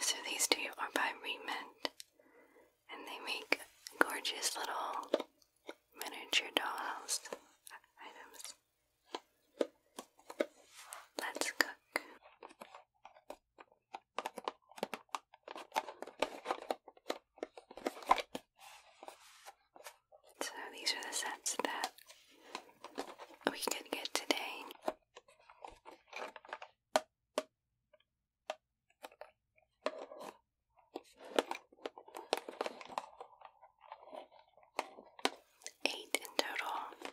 So these two are by Remint, and they make gorgeous little miniature dollhouse items. Let's cook. So these are the sets that we could get today. Eight in total.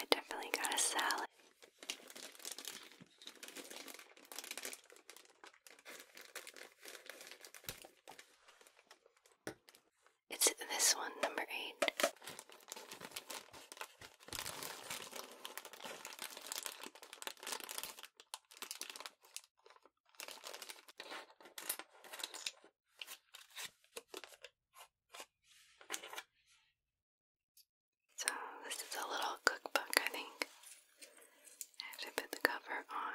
I definitely got a salad. It's this one, number eight. So, this is a little cookbook, I think. I have to put the cover on.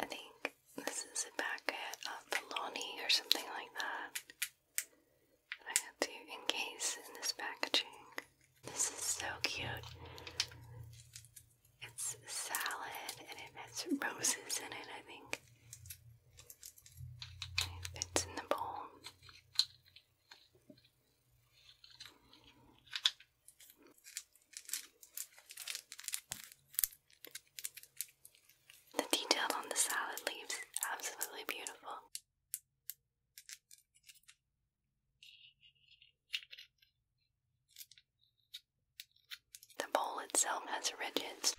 I think this is a packet of bologna or something like that. I got to encase in this packaging. This is so cute. It's salad and it has roses in it, I think. It in the bowl. The detail on the salad leaves is absolutely beautiful. The bowl itself has ridges.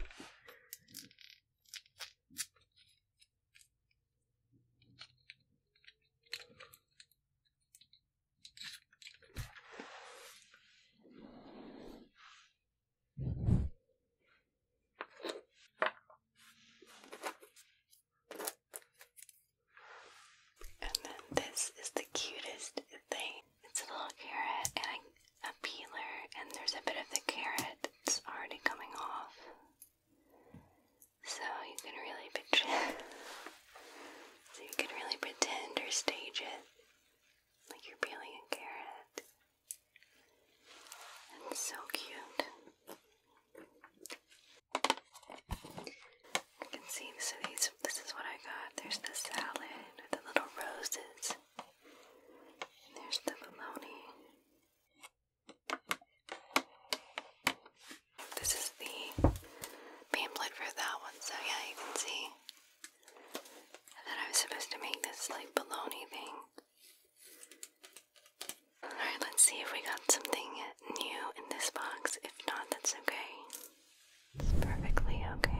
And then this is the cutest thing. It's a little carrot and a, peeler, and there's a bit of the carrot that's already coming off. So you can really pretend or stage it like you're peeling a carrot. And so cute. You can see so these this is what I got. There's the salad with the little roses. And there's the bologna. This is the pamphlet for that one, so yeah, you can see that I was supposed to make this like baloney thing. Alright, let's see if we got something new in this box. If not, that's okay. It's perfectly okay.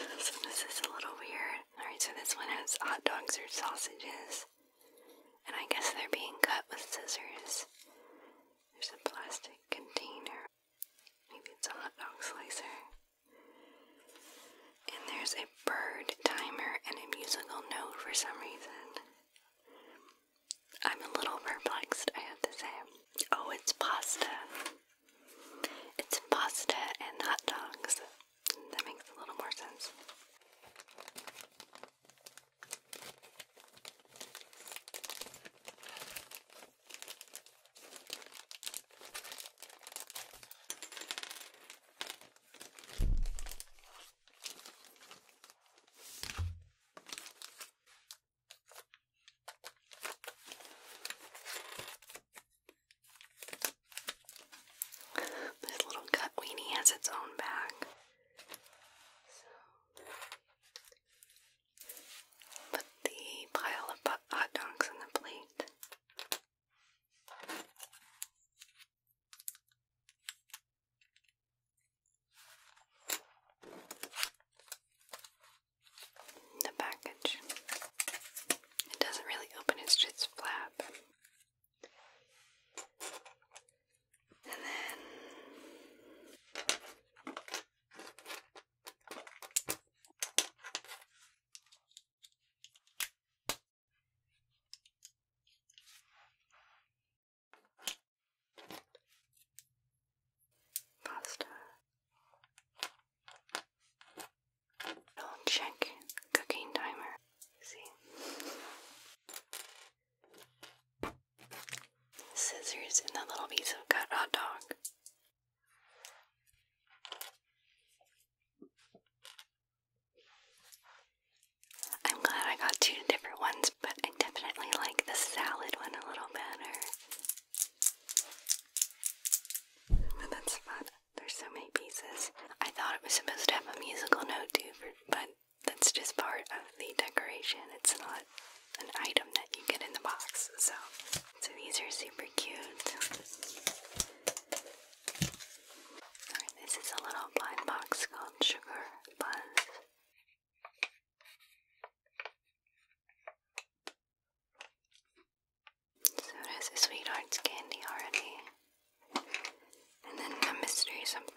so this is a little weird. Alright, so this one has hot dogs or sausages. And I guess they're being cut with scissors. There's a plastic container Maybe it's a hot dog slicer. And there's a bird timer and a musical note for some reason. I'm a little perplexed, I have to say. Oh, it's pasta. It's pasta and hot dogs. That makes a little more sense. This little gut weenie has its own bag. Put the pile of hot dogs on the plate. The package. It doesn't really open, it's just flap. And then Pasta. I'll check cooking timer. See scissors, and the little piece of cut hot dog. I'm glad I got two different ones, but I definitely like the salad one a little better. that's fun. There's so many pieces. I thought it was supposed to have a musical note too, but that's just part of the decoration. It's not an item that you get in the box. So, so these are super cute. Alright, this is a little blind box called Sugar Buzz. So it a sweetheart's candy already. And then a mystery something.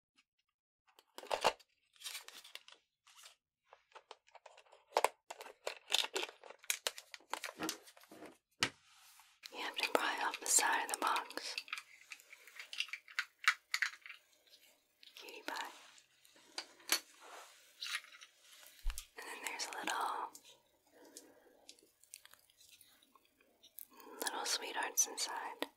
You have to pry off the side of the box. Cutie pie. And then there's little little sweethearts inside.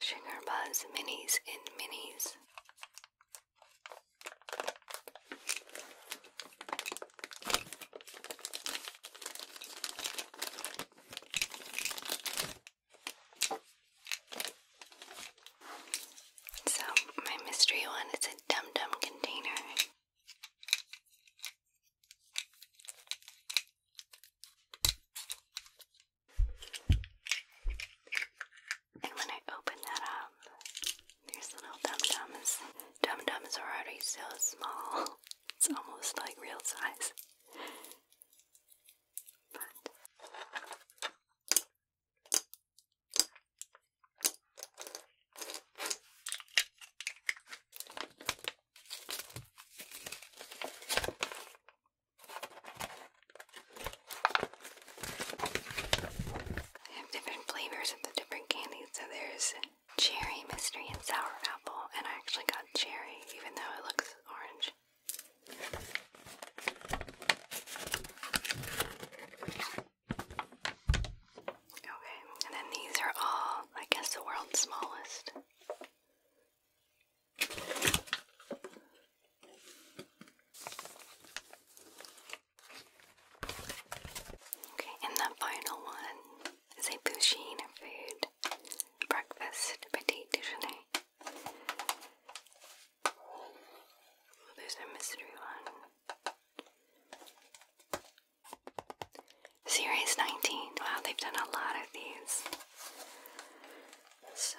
Sugar Buzz Minis in Minis. So, my mystery one is a dum dum container. And when I open that up, there's little dum dums. Dum dums are already so small, it's almost like real size. They have different flavors of the different candies. So there's cherry, mystery, and sour apple. And I actually got cherry, even though it looks orange. Okay, and then these are all, I guess, the world's smallest. Okay, and the final one is a Pusheen food breakfast, petit déjeuner. Oh, there's a mystery one. Series 19. Wow, they've done a lot of these. So.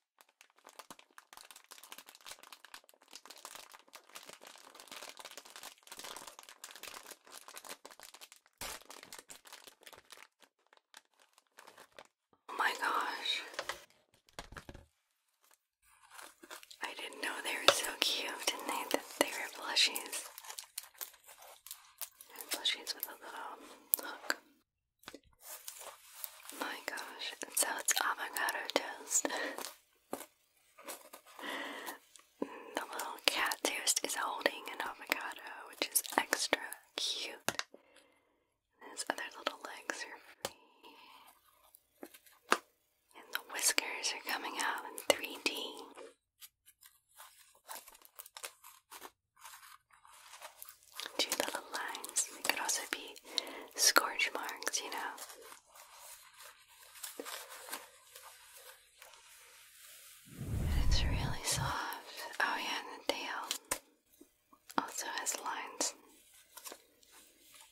Oh my gosh. I didn't know they were so cute, didn't they? That they were plushies. plushies with a little hook. My gosh, so it's avocado toast. the little cat toast is holding an avocado, which is extra cute. his other little legs are And the whiskers are coming out in 3D. Two little lines. It could also be scorch marks, you know. it's really soft. Oh, yeah, the tail also has lines.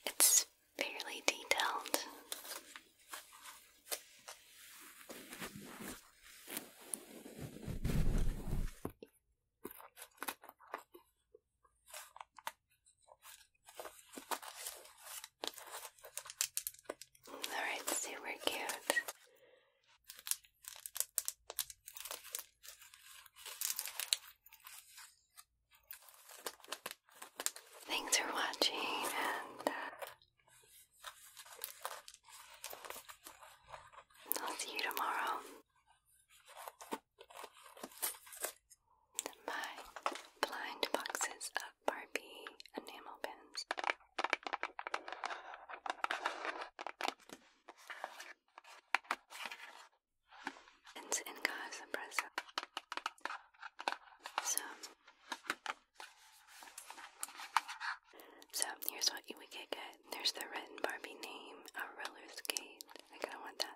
It's fairly detailed. Alright, super cute. Thanks for watching and uh, I'll see you tomorrow. My blind boxes of Barbie enamel pins. Pins in Casa Presa. So, so here's what we could get. There's the written Barbie name, a roller skate. I kinda want that.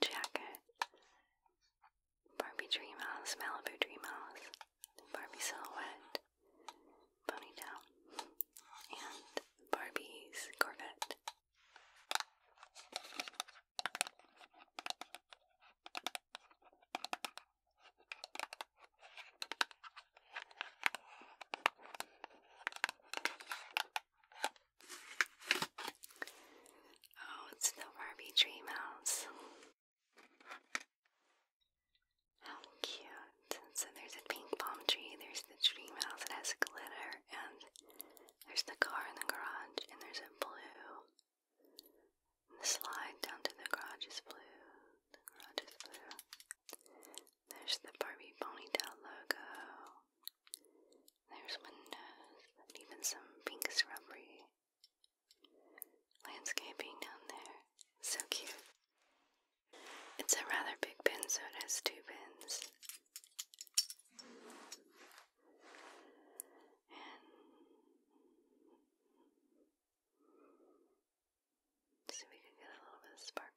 jacket. Barbie Dream House, Malibu Dream House, Barbie Silhouette, Ponytail, and Barbie's Corvette. Oh, it's the Barbie Dream House. How cute. So there's a pink palm tree, there's the dream house that has glitter, and there's the car in the garage, and there's a blue. slide down to the garage is blue. The garage is blue. There's the Barbie ponytail logo. There's windows and even some pink shrubbery. Landscaping down there. So cute. It's a rather big pin, so it has two pins so we can get a little bit of sparkle.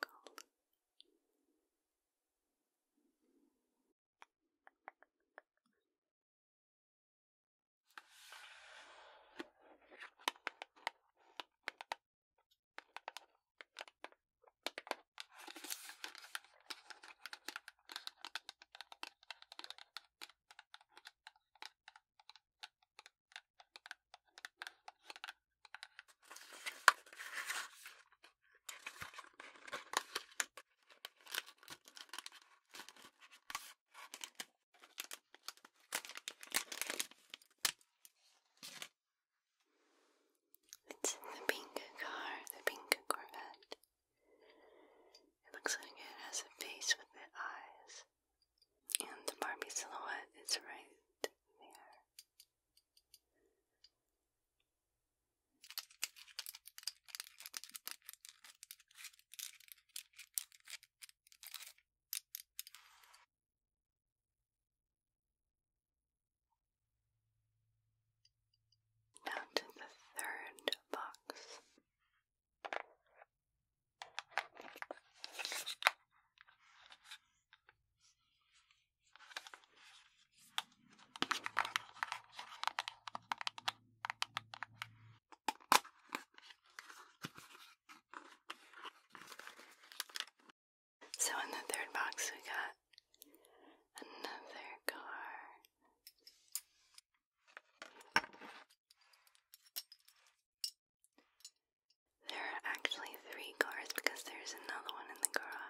It's the pink car, the pink Corvette. It looks like it has a face with the eyes. And the Barbie silhouette is right there. Now to the third box. So, in the third box, we got another car. There are actually three cars because there's another one in the garage.